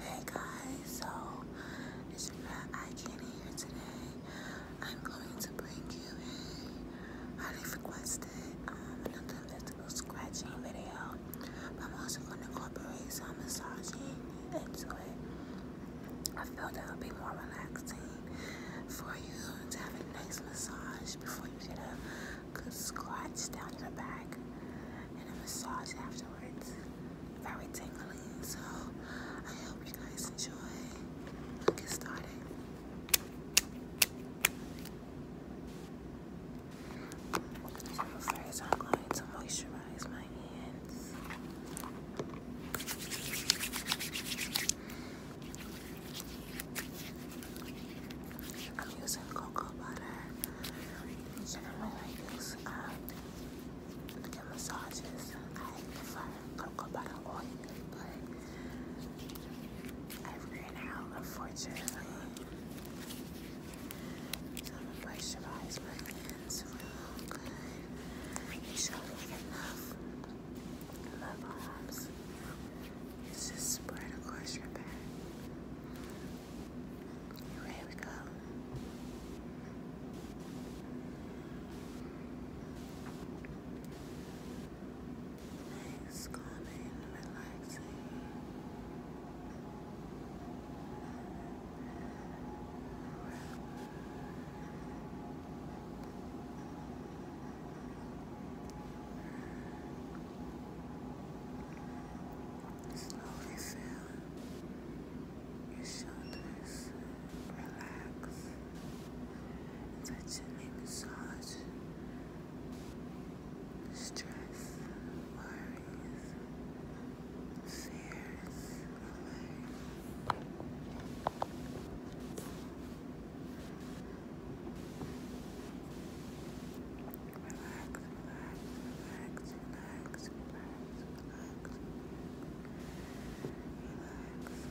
Hey guys, so it's your I Can't Hear today. I'm going to bring you a highly requested um, another mystical scratching video. But I'm also going to incorporate some massaging into it. I feel that would be more relaxing for you to have a nice massage before you get a good scratch down your back and a massage afterwards. Very tingling. So I hope you guys enjoy. Let's get started first I'm going to moisturize my hands. I'm using cocoa butter. Generally I use um, get massages. I prefer cocoa butter oil, i ran out, unfortunately. So I'm gonna moisturize my hands real good. You show enough love arms. just spread across your back. Here we go. It's calming, relaxing. Slowly feel your shoulders relax. Fetching a massage, stress, worries, fears relax, relax, relax, relax, relax. relax.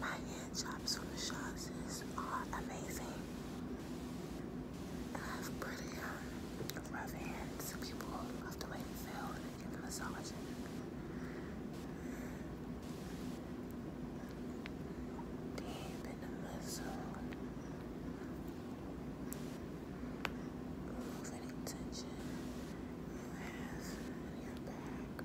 My hand chops from Shaw's are amazing. I have pretty um, hands. People love the way they feel when a massage. Deep in the muscle. Remove tension you have your back.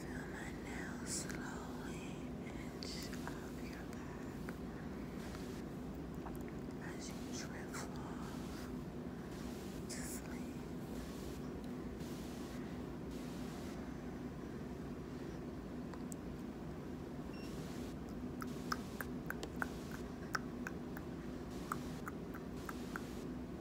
Zoom in now slowly inch up your back as you drift off to sleep.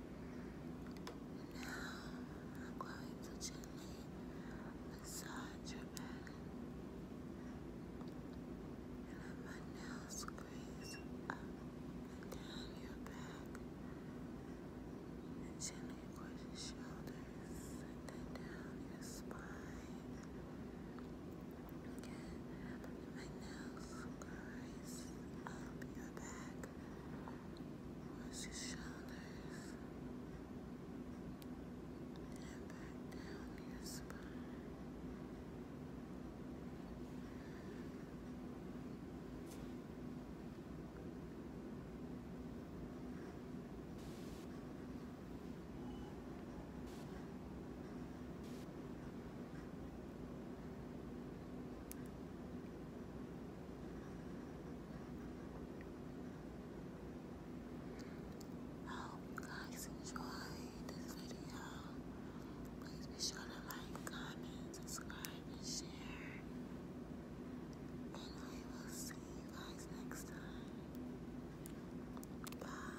Now I'm going to gently massage your back and let my nails squeeze up and down your back and gently across your shoulders and down your spine. Again, my nails squeeze up your back Watch your shoulders and back down your spine. I hope you guys enjoyed this video. Please be sure to like, comment, subscribe, and share. And I will see you guys next time. Bye.